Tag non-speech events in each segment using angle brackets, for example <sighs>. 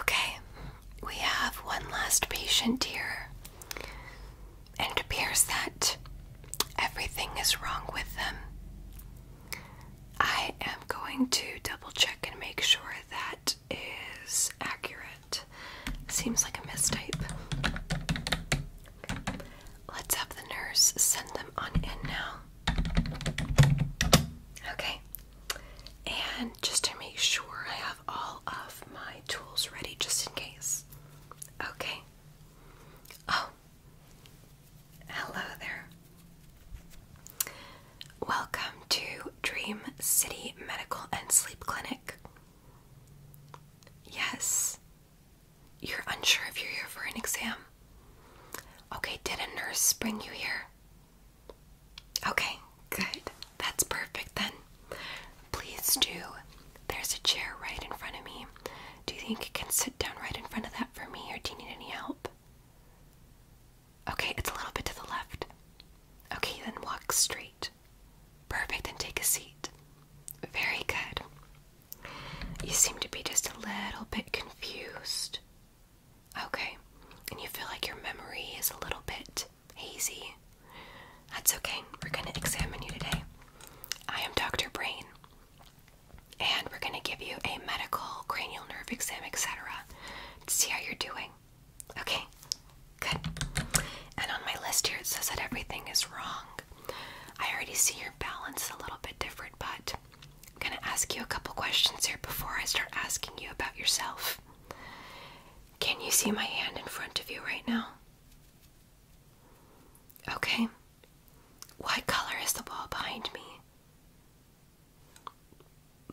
Okay, we have one last patient here, and it appears that everything is wrong with them. I am going to double check and make sure that is accurate. Seems like a mistype. Let's have the nurse send them on in now. Okay, and just to make sure I have all of my tools ready just in case. Okay. Oh, hello there. Welcome to Dream City Medical and Sleep Clinic. Yes, you're unsure if you're here for an exam. Okay, did a nurse bring you here? Okay, good. That's perfect then. Please do. There's a chair right in front of me. Do you think you can sit down right in front of that for me, or do you need any help? Okay, it's a little bit to the left. Okay, then walk straight. Perfect, and take a seat. Very good. You seem to be just a little bit confused. Okay. And you feel like your memory is a little bit hazy. That's okay. We're going to examine you today. I am Dr. Brain. And we're going to give you a medical cranial nerve exam, etc., to see how you're doing. Okay? Good. And on my list here, it says that everything is wrong. I already see your balance is a little bit different, but I'm going to ask you a couple questions here before I start asking you about yourself. Can you see my hand in front of you right now? Okay. What color is the wall behind me?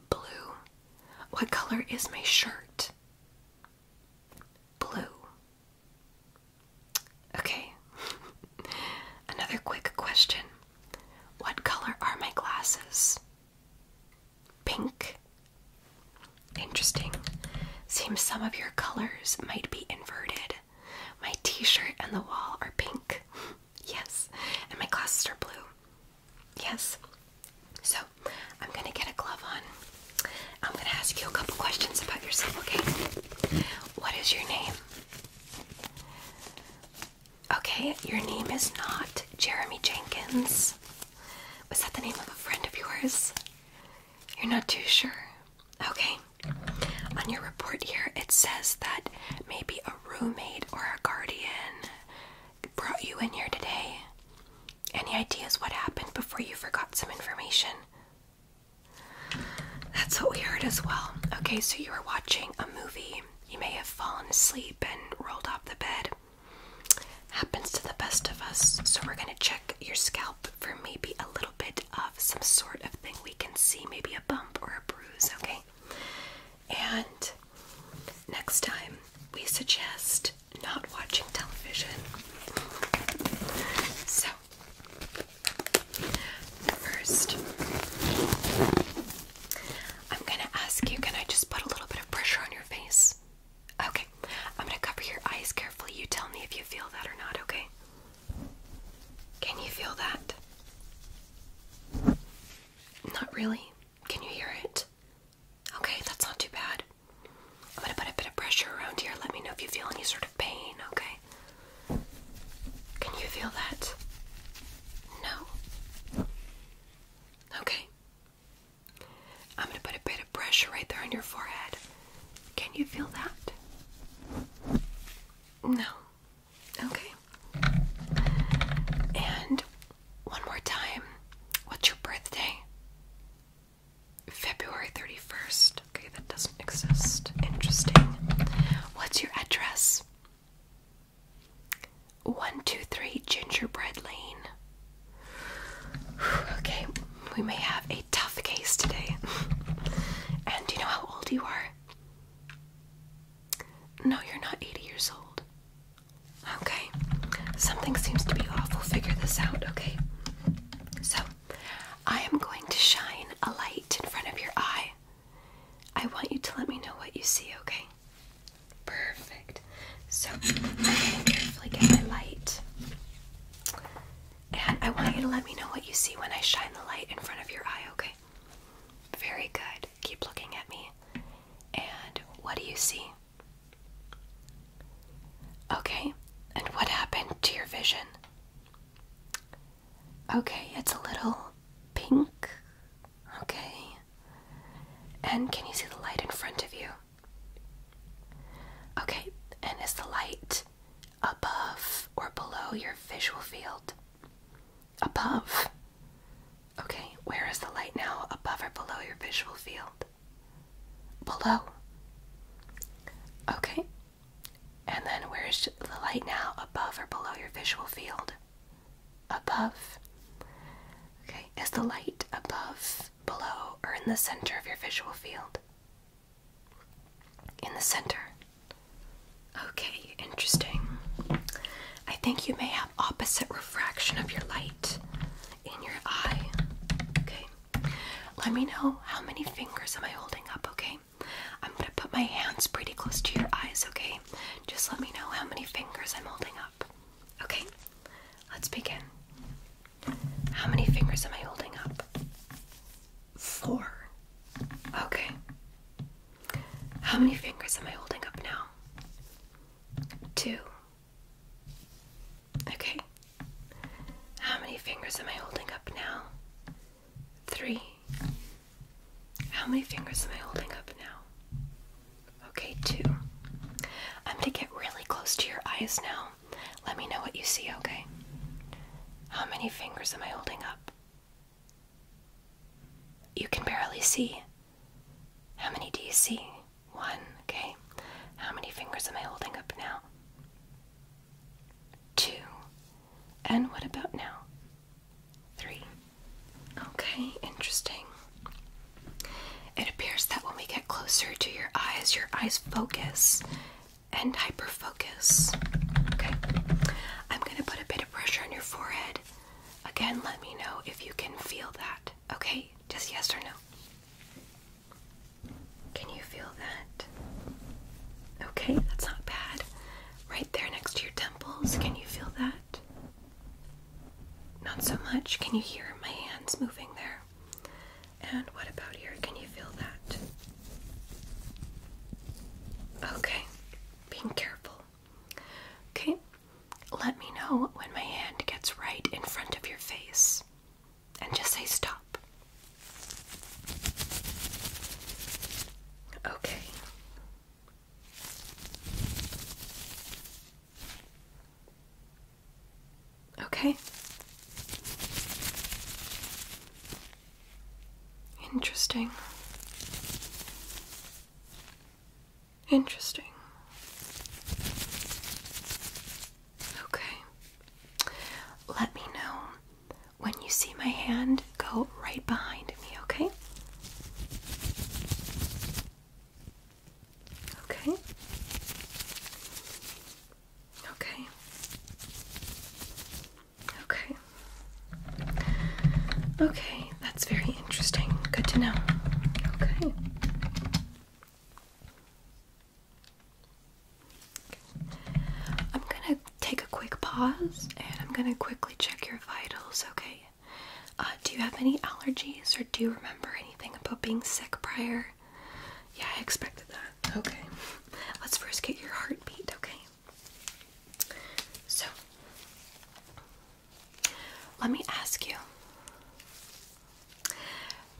Blue. What color is my shirt? Blue. Okay. <laughs> Another quick question. What color are my glasses? Pink. Interesting. Seems some of your colors might be inverted. My t shirt and the wall are pink. <laughs> yes. And my glasses are blue. Yes. So I'm going to get a glove on. I'm going to ask you a couple questions about yourself, okay? What is your name? Okay, your name is not Jeremy Jenkins. Was that the name of a friend of yours? You're not too sure. Okay. On your report here, it says that maybe a roommate or a guardian brought you in here today. Any ideas what happened before you forgot some information? That's what we heard as well. Okay, so you were watching a movie. You may have fallen asleep and rolled off the bed. Happens to the best of us. So we're going to check your scalp for maybe a little bit of some sort of thing we can see, maybe a bump or a bruise, okay? And next time, we suggest not watching television. So, First, I'm gonna ask you can I just put a little bit of pressure on your face? Okay, I'm gonna cover your eyes carefully. You tell me if you feel that or not, okay? Can you feel that? Not really. Can you hear it? Okay, that's not too bad. I'm gonna put a bit of pressure around here. Let me know if you feel any sort of pain, okay? Can you feel that? No? Okay. I'm going to put a bit of pressure right there on your forehead. Can you feel that? No. Okay. And one more time. What's your birthday? February 31st. Okay that doesn't exist. Interesting. What's your address? 123 Gingerbread Lane. <sighs> Okay, we may have a tough case today. <laughs> and do you know how old you are? No, you're not 80 years old. Okay, something seems to be awful. figure this out, okay? So, I am going to shine a light in front of your eye. I want you to let me know what you see, okay? Perfect. So I'm carefully get my light. And I want you to let me know what you see when I shine the light in front of your eye, okay? Very good. Keep looking at me. And what do you see? Okay. And what happened to your vision? Okay, it's a little pink. Okay. And can you see the light in front of you? Okay, and is the light above or below your visual field? Above. Okay, where is the light now? Above or below your visual field? Below. Okay, and then where's the light now? Above or below your visual field? Above. Okay, is the light above, below, or in the center of your visual field? In the center. Okay, interesting. I think you may have opposite refraction of your light in your eye. Okay. Let me know how many fingers am I holding up, okay? I'm gonna put my hands pretty close to your eyes, okay? Just let me know how many fingers I'm holding up. Okay? Let's begin. How many fingers am I holding up? Four. Okay. How many fingers am I holding up now? Two. Okay. How many fingers am I holding up now? three. How many fingers am I holding up now? Okay, two. I'm gonna get really close to your eyes now. Let me know what you see, okay? How many fingers am I holding up? You can barely see. How many do you see? One, okay. How many fingers am I holding up now? Two. And what about now? Three. Okay, interesting. It appears that when we get closer to your eyes, your eyes focus and hyperfocus. Okay, I'm going to put a bit of pressure on your forehead. Again, let me know if you can feel that. Okay, just yes or no. Can you feel that? Okay, that's not bad. Right there next to your temples, can you feel that? Not so much. Can you hear my hands moving there? And what about here? Can you feel that? Okay, being careful. Okay, let me know when my hand gets right in front of your face and just say stop. Okay. Okay. Interesting. Interesting. Okay. Let me know when you see my hand, go right behind me, okay? Okay. Okay. Okay. Okay, that's very interesting. Good to know. Okay. I'm gonna take a quick pause and I'm gonna quickly check your vitals, okay? Uh, do you have any allergies or do you remember anything about being sick prior? Yeah, I expected that. Okay. Let's first get your heartbeat, okay? So, let me ask you.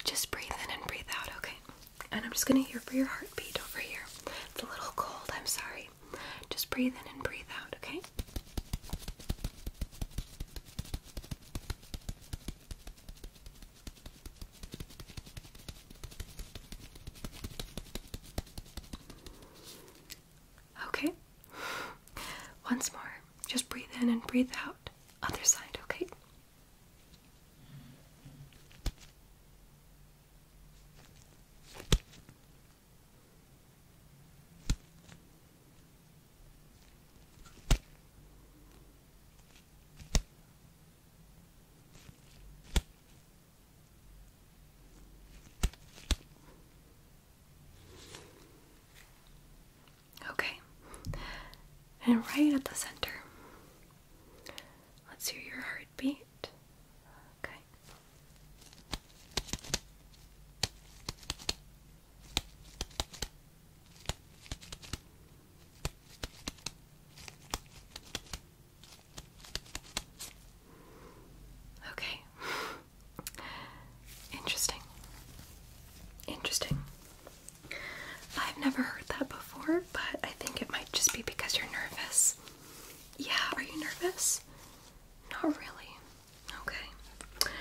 Just breathe in and breathe out, okay? And I'm just gonna hear for your heartbeat over here. It's a little cold, I'm sorry. Just breathe in and breathe out, okay? Okay. Once more. Just breathe in and breathe out. Other side, okay? Okay, and right at the center, Let's hear your heartbeat. Okay. Okay. <laughs> Interesting. Interesting. I've never heard that before, but I think it might just be because you're nervous. Yeah, are you nervous? Not really. Okay.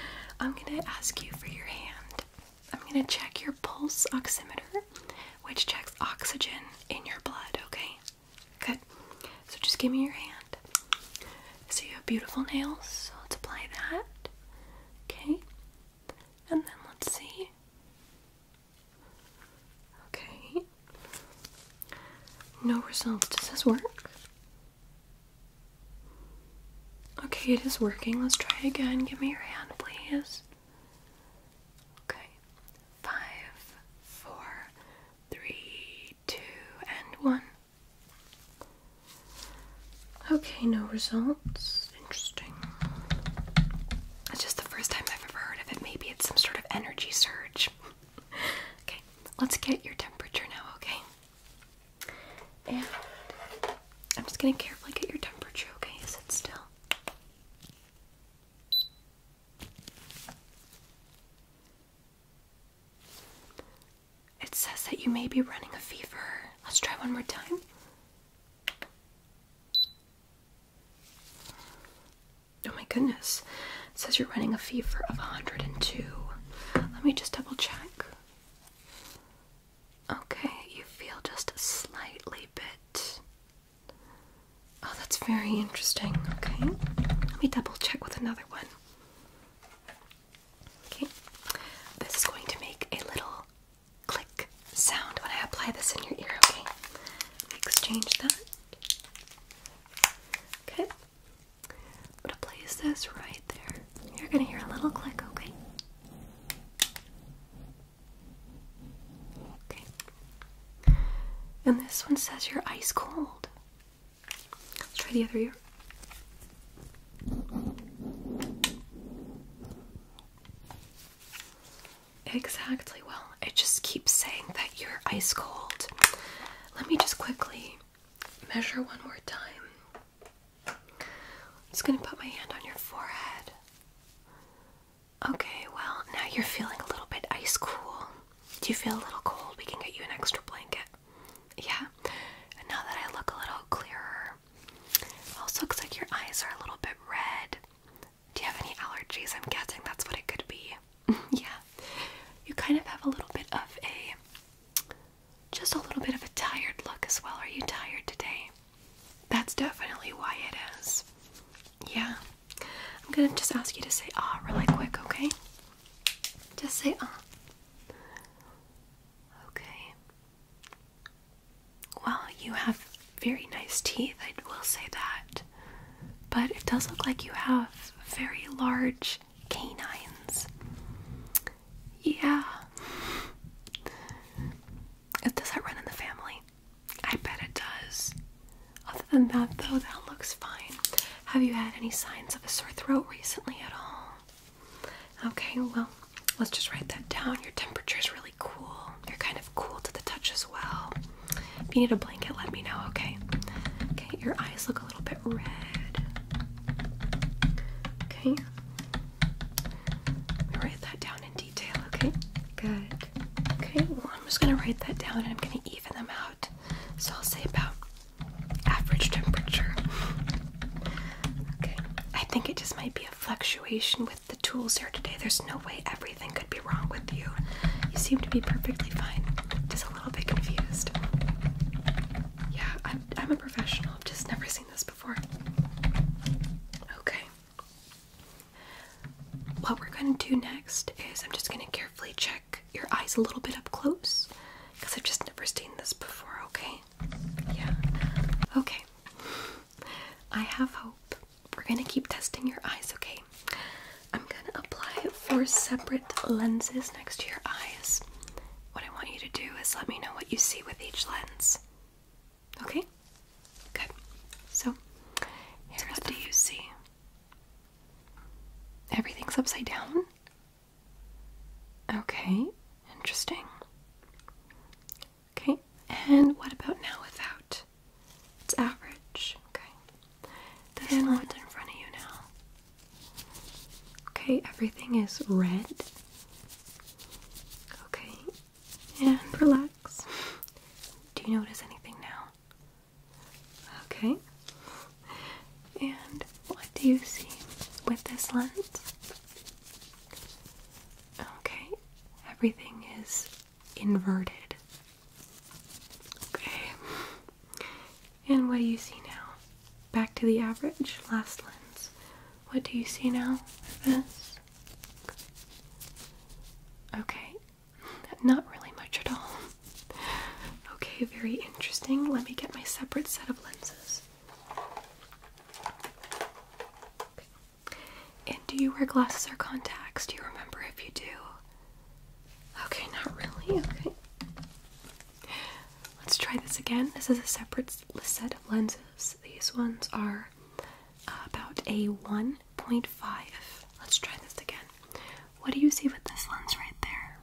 I'm gonna ask you for your hand. I'm gonna check your pulse oximeter, which checks oxygen in your blood, okay? Good. So just give me your hand. So you have beautiful nails, so let's apply that. Okay. And then let's see. Okay. No results. Does this work? Okay, it is working. Let's try again. Give me your hand, please. Okay. Five, four, three, two, and one. Okay, no results interesting. It's just the first time I've ever heard of it. Maybe it's some sort of energy surge. <laughs> okay, let's get your temperature now, okay? And I'm just gonna carefully get your temperature, okay? Sit still. It says that you may be running a fever. Let's try one more time. Oh my goodness. It says you're running a fever of 102. Let me just double check. Okay, you feel just a slightly bit. Oh, that's very interesting. Okay. Let me double check with another one. Okay. This is going to make a little click sound when I apply this in your ear, okay? Exchange that. Okay. I'm gonna place this right there. You're gonna hear a little click, okay? Okay. And this one says you're ice cold. Let's try the other ear. Exactly. Well, it just keeps saying that you're ice cold. Let me just quickly measure one more time. just going to put my hand on your forehead. Okay, well, now you're feeling a little bit ice cool. Do you feel a little cold? We can get you an extra blanket. Yeah? And now that I look a little clearer, here. Also looks like your eyes are a little bit red. Do you have any allergies? I'm guessing that's what it could be. <laughs> yeah. You kind of have a little bit of a just a little bit of a tired look as well. Are you tired today? That's definitely why it is. Yeah. I'm gonna just ask you to say ah really quick, okay? Just say ah. Okay. Well, you have very nice teeth, I will say that. But it does look like you have very large canines. Yeah. it Does that run in the family? I bet it does. Other than that, though, that looks fine. Have you had any signs of a sore throat recently at all? Okay, well, let's just write that down. Your temperature is really cool. You're kind of cool to the touch as well. If you need a blanket, let me know, okay? Okay, your eyes look a little bit red. Okay. write that down in detail, okay? Good. Okay, well, I'm just gonna write that down and I'm gonna even them out. So I'll say about average temperature. Okay, I think it just might be a fluctuation with the tools here today. There's no way everything could be wrong with you. You seem to be perfectly fine. Just a little bit confused. Yeah, I'm, I'm a professional. I've just never seen this before. Okay. What we're going to do next is I'm just going to carefully check your eyes a little bit up close because I've just never seen this before, okay? Yeah. Okay. I have hope. We're gonna keep testing your eyes, okay? I'm gonna apply four separate lenses next to your eyes. What I want you to do is let me know what you see with each lens. Okay? Good. So, here's what do you see? Everything's upside down? Okay, interesting. Okay, and what about now without? It's average. Okay, that's and in front of you now. Okay, everything is red. Okay, and relax. Do you notice anything now? Okay, and what do you see with this lens? Okay, everything is inverted. Okay, and what do you see now? Back to the average, last lens. What do you see now this? Okay, not really much at all. Okay, very interesting. Let me get my separate set of lenses. And do you wear glasses or contacts? Do you remember if you do? Okay, not really. Okay. Let's try this again. This is a separate set of lenses. These ones are uh, about a 1.5. Let's try this again. What do you see with this lens right there?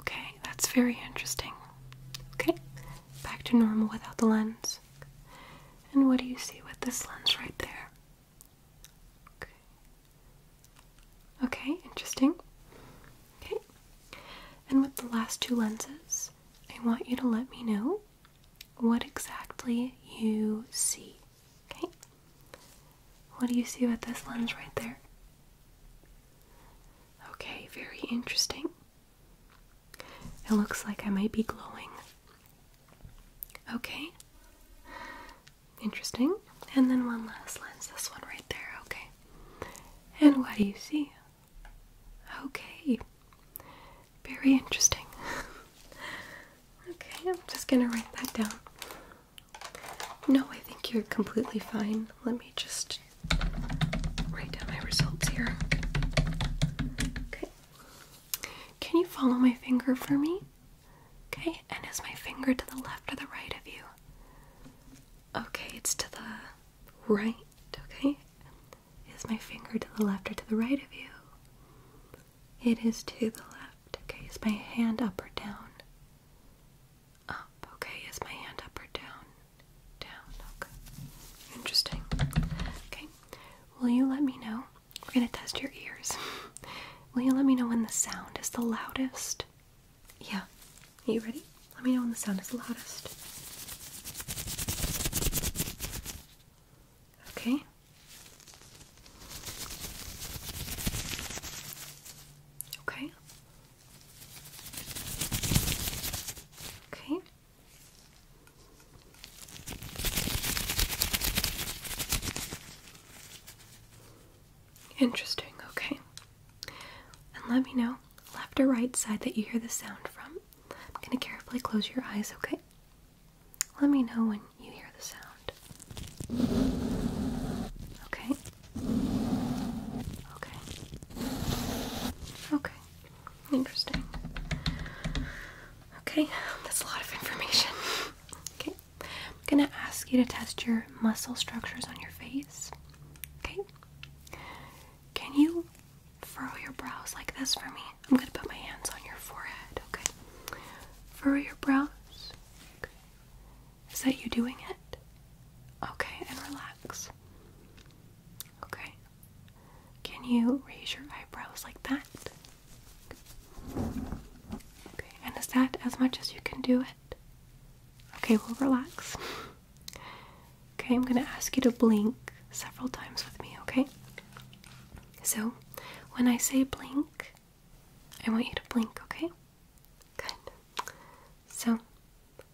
Okay, that's very interesting. Okay, back to normal without the lens. And what do you see with this lens right there? Okay. interesting. Okay. And with the last two lenses, I want you to let me know what exactly you see. Okay? What do you see with this lens right there? Okay, very interesting. It looks like I might be glowing. Okay. Interesting. And then one last lens, this one right there, okay. And what do you see? Okay. Very interesting. <laughs> okay, I'm just gonna write that down. No, I think you're completely fine let me just write down my results here. Okay. Can you follow my finger for me? Okay, and is my finger to the left or the right of you? Okay, it's to the right, okay? Is my finger to the left or to the right of you? It is to the left. Okay, is my hand up or down? Up, okay. Is my hand up or down? Down, okay. Interesting. Okay. Will you let me know? We're gonna test your ears. <laughs> Will you let me know when the sound is the loudest? Yeah. Are you ready? Let me know when the sound is the loudest. Okay. Okay. Okay. Interesting, okay. And let me know left or right side that you hear the sound from. I'm going to carefully close your eyes, okay? Let me know when you hear the sound. Okay, Okay. Okay. Interesting. Okay, that's a lot of information. Okay. I'm gonna ask you to test your muscle structures on your face. Okay. Can you furrow your brows like this for me? I'm gonna put my hands on your forehead, okay? Furrow your brows. Is that you doing it? Okay, and relax. Okay. Can you raise your eyebrows like that? Okay, and is that as much as you can do it? Okay, we'll relax. okay, I'm gonna ask you to blink several times with me, okay? So, when I say blink, I want you to blink, okay? Good. So,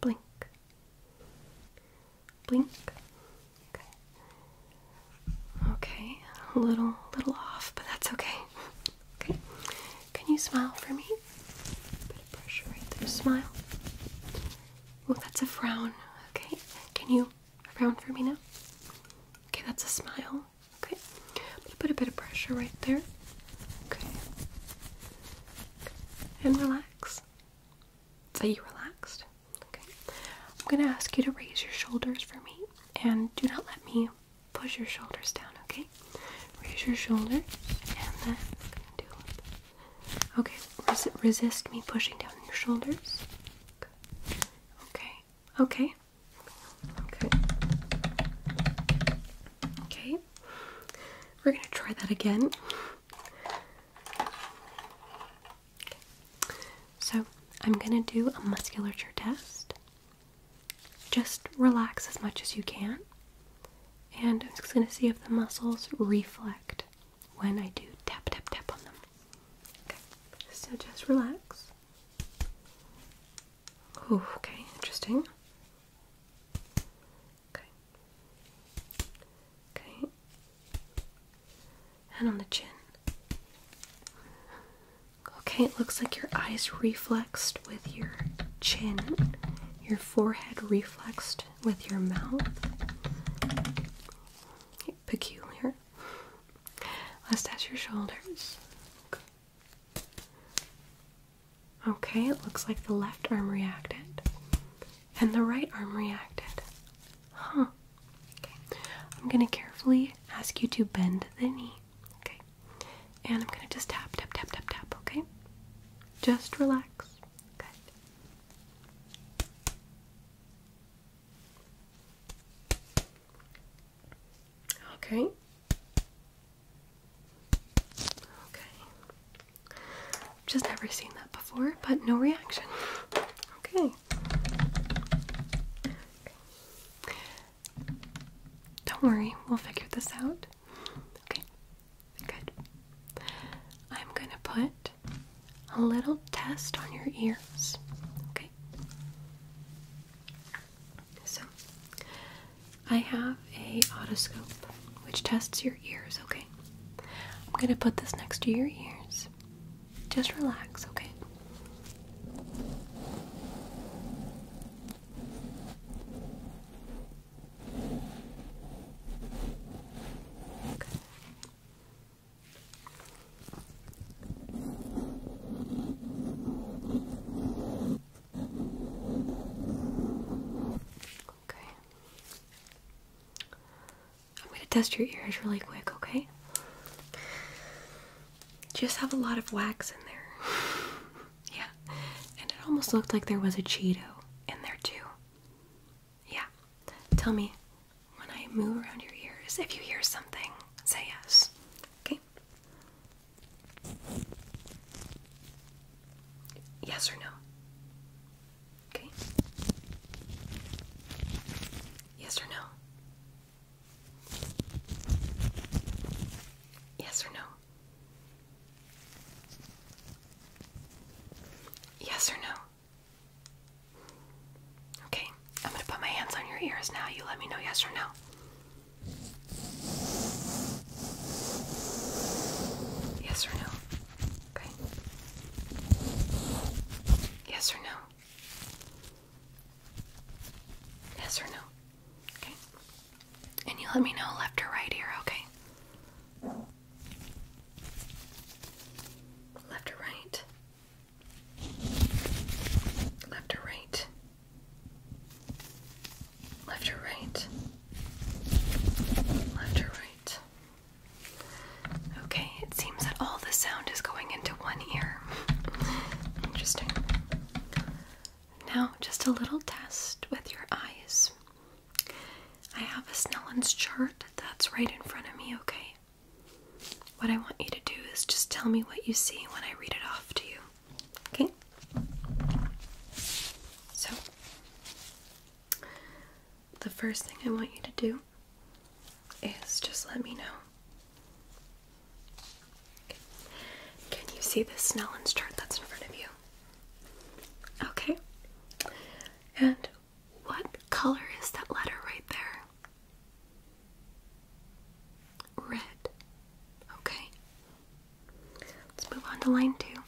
Blink. Blink. Okay. Okay. A little little off, but that's okay. Okay. Can you smile for me? Bit of pressure right there. Smile. Oh, that's a frown. Okay. Can you frown for me now? Okay, that's a smile. Okay, put a bit of pressure right there. Okay, and relax. Say you relaxed. Okay, I'm gonna ask you to raise your shoulders for me, and do not let me push your shoulders down. Okay, raise your shoulders, and then do Okay, resist me pushing down your shoulders. Okay, okay, Okay. Okay. We're going to try that again. So, I'm going to do a musculature test. Just relax as much as you can. And I'm just going to see if the muscles reflect when I do tap, tap, tap on them. So, just relax. Oh, okay, interesting. Okay. Okay. And on the chin. Okay, it looks like your eyes reflexed with your chin, your forehead reflexed with your mouth. peculiar. Let's test your shoulders. Okay, it looks like the left arm reacted and the right arm reacted. Huh. Okay. I'm going to carefully ask you to bend the knee. Okay. And I'm going to just tap, tap, tap, tap, tap, okay? Just relax. Good. Okay. Okay. Just never seen that before, but no reaction. Okay. Don't worry, we'll figure this out. Okay. Good. I'm going to put a little test on your ears. Okay. So I have a otoscope which tests your ears, okay? I'm going to put this next to your ears. Just relax, okay? okay. Okay. I'm going to test your ears really quick, okay? Just have a lot of wax in there. <sighs> yeah. And it almost looked like there was a Cheeto in there, too. Yeah. Tell me when I move around your ears if you hear something, say yes. Okay? Yes or no? Okay. Yes or no? Yes or no? Yes or no? Okay, I'm gonna put my hands on your ears now. You let me know yes or no. Yes or no? Okay. Yes or no? Yes or no? Okay. And you let me know left or right here, okay? Left or right? Left or right? Left or right? Left or right? Okay, it seems that all the sound is going into one ear. Interesting. Now, just a little test with your eyes. I have a Snellen's chart that's right in front of me, okay? What I want you to do is just tell me what you see when I read it off to you. Okay. So, the first thing I want you to do is just let me know. Can you see the Snellen's chart that's in front of you? Okay. And what color is that letter right there? Red. Okay. Let's move on to line two.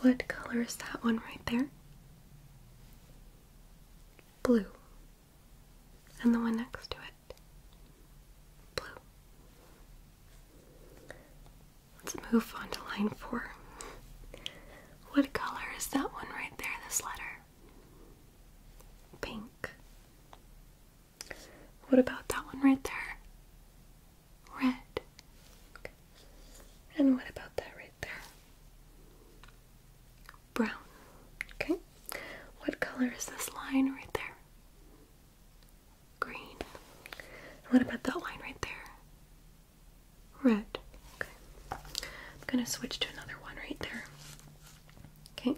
What color is that one right there? Blue. And the one next to it? Blue. Let's move on to line four. What color is that one right there, this letter? Pink. What about that one right there? Red. Okay. And what about that right there? Brown. Okay. What color is this line right there? Green. what about that line right there? Red. Okay. I'm going to switch to another one right there. Okay.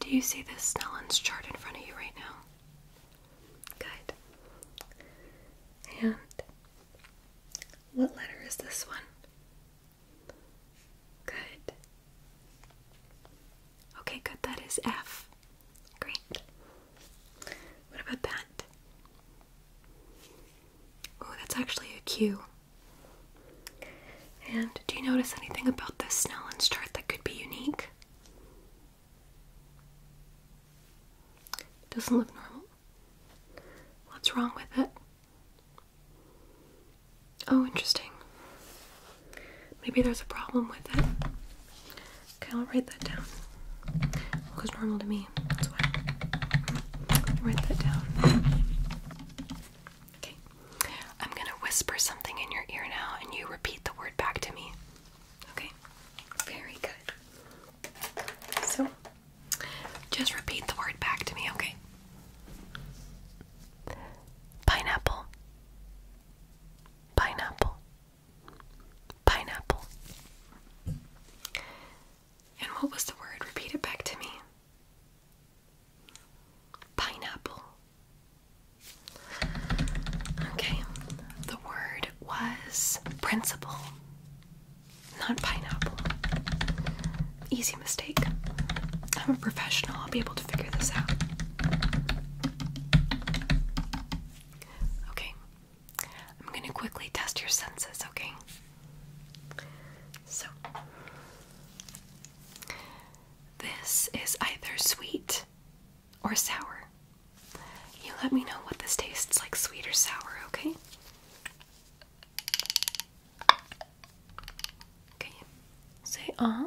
Do you see this Snellen's chart in front of you right now? Good. And what letter is this one? Good. Okay, good. That is F. Great. What about that? Oh, that's actually a Q. And do you notice anything about this Snellen's chart that could be unique? It doesn't look normal. What's wrong with it? Oh, interesting. Maybe there's a problem with it. Okay, I'll write that down. It looks normal to me. That's why. I'll write that down. Okay. I'm going to whisper something in your ear now and you repeat the word back to me. Okay? Very good. So, just repeat the word back to me, okay? Pineapple. Pineapple. Pineapple. And what was the word? Repeat it back to me. Pineapple. Okay, the word was principal, not pineapple. Easy mistake. I'm a professional, I'll be able to figure this out. Okay, I'm gonna quickly test your senses, okay? So, this is either sweet or sour. You let me know what this tastes like, sweet or sour, okay? Okay. Say uh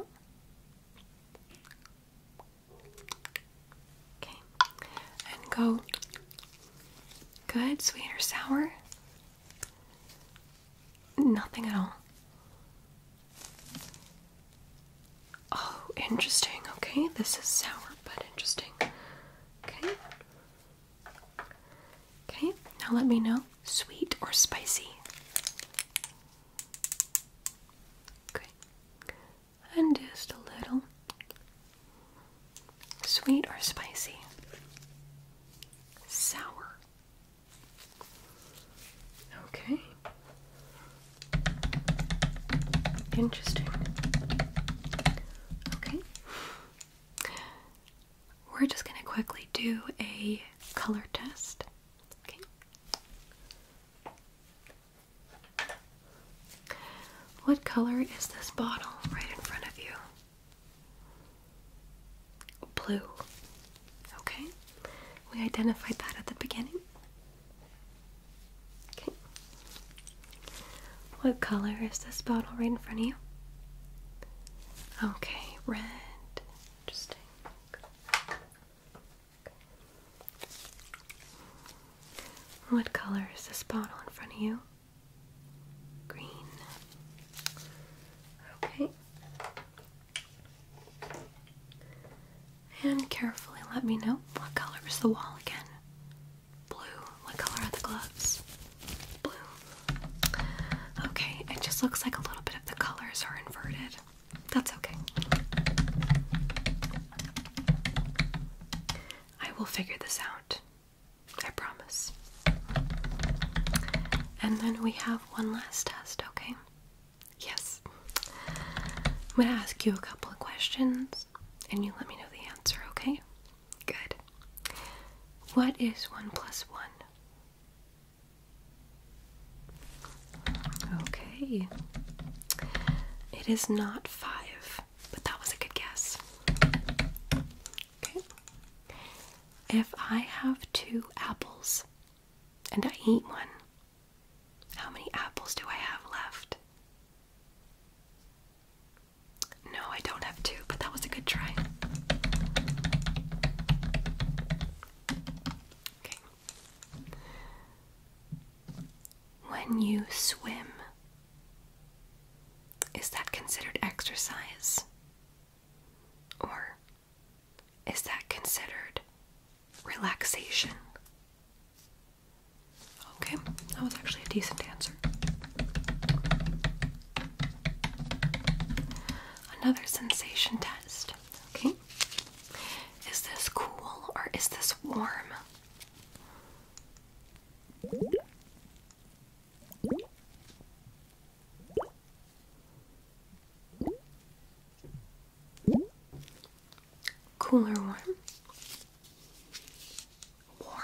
Okay. And go. Good, sweet or sour? Nothing at all. Oh, interesting. Okay, this is sour but interesting. Okay. Okay, now let me know sweet or spicy. Okay. And just a little. Sweet or spicy? Sour. Okay. Interesting. Okay. We're just going to quickly do a color test. Okay. What color is this bottle right in front of you? Blue. Okay? We identified that at the beginning. Okay. What color is this bottle right in front of you? Okay, red. Interesting. What color is this bottle in front of you? green. Okay. And carefully let me know what color is the wall again. Blue. What color are the gloves? Blue. Okay, it just looks like a little bit of the colors are inverted. That's okay. I will figure this out. I promise. And then we have one last test, okay? Yes. I'm going to ask you a couple of questions and you let me know the answer, okay? Good. What is 1 plus 1? Okay. It is not 5, but that was a good guess. If I have two apples and I eat one, how many apples do I have left? No, I don't have two, but that was a good try. When you swim is that considered exercise? Or is that considered relaxation? Okay, that was actually a decent answer. Another sensation test. Okay. Is this cool or is this warm? Cooler warm. Warm.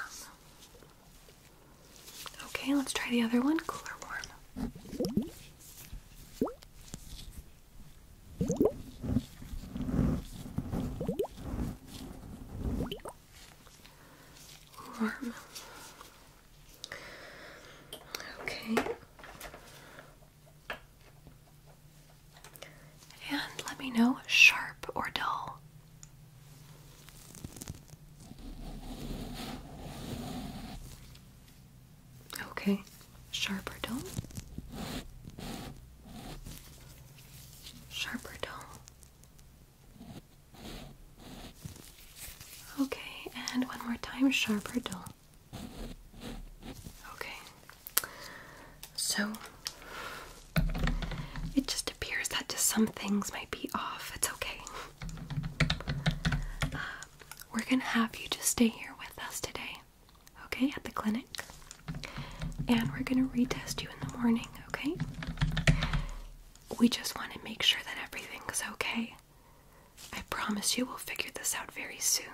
Okay, let's try the other one. Cooler warm warm. Okay. And let me know sharp or dull. Okay, sharp or dull? Sharp or dull? Okay, and one more time, sharp or dull? Okay. So, it just appears that just some things might be off. It's okay. Uh, we're gonna have you just stay here with us today, okay, at the clinic. And we're gonna retest you in the morning, okay? We just want to make sure that everything's okay. I promise you we'll figure this out very soon.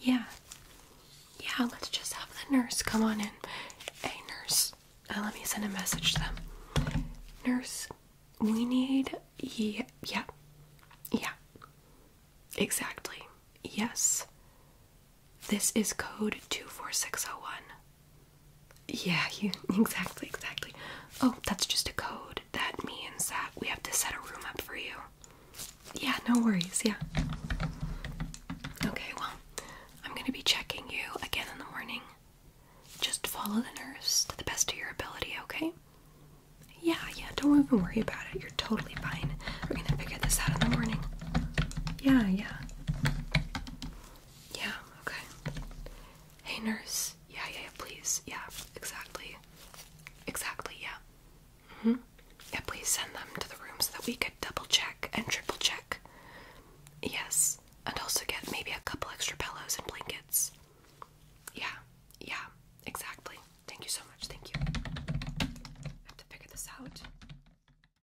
Yeah. Yeah, let's just have the nurse come on in. Hey, nurse. Uh, let me send a message to them. Nurse, we need. Yeah. Yeah. Yeah. Exactly. Yes. This is code 24601. Yeah, you <laughs> exactly, exactly. Oh, that's just a code. That means that we have to set a room up for you. Yeah, no worries, yeah. Okay, well, I'm gonna be checking you again in the morning. Just follow the nurse to the best of your ability, okay? Yeah, yeah, don't even worry about it. You're totally fine. We're gonna figure this out in the morning. Yeah, yeah. Yeah, okay. Hey, nurse. Yeah, yeah, yeah, please. Yeah, exactly. Exactly, yeah. Mm hmm. Yeah, please send them to the room so that we could double check and triple check. Yes, and also get maybe a couple extra pillows and blankets. Yeah, yeah, exactly. Thank you so much. Thank you. I have to figure this out.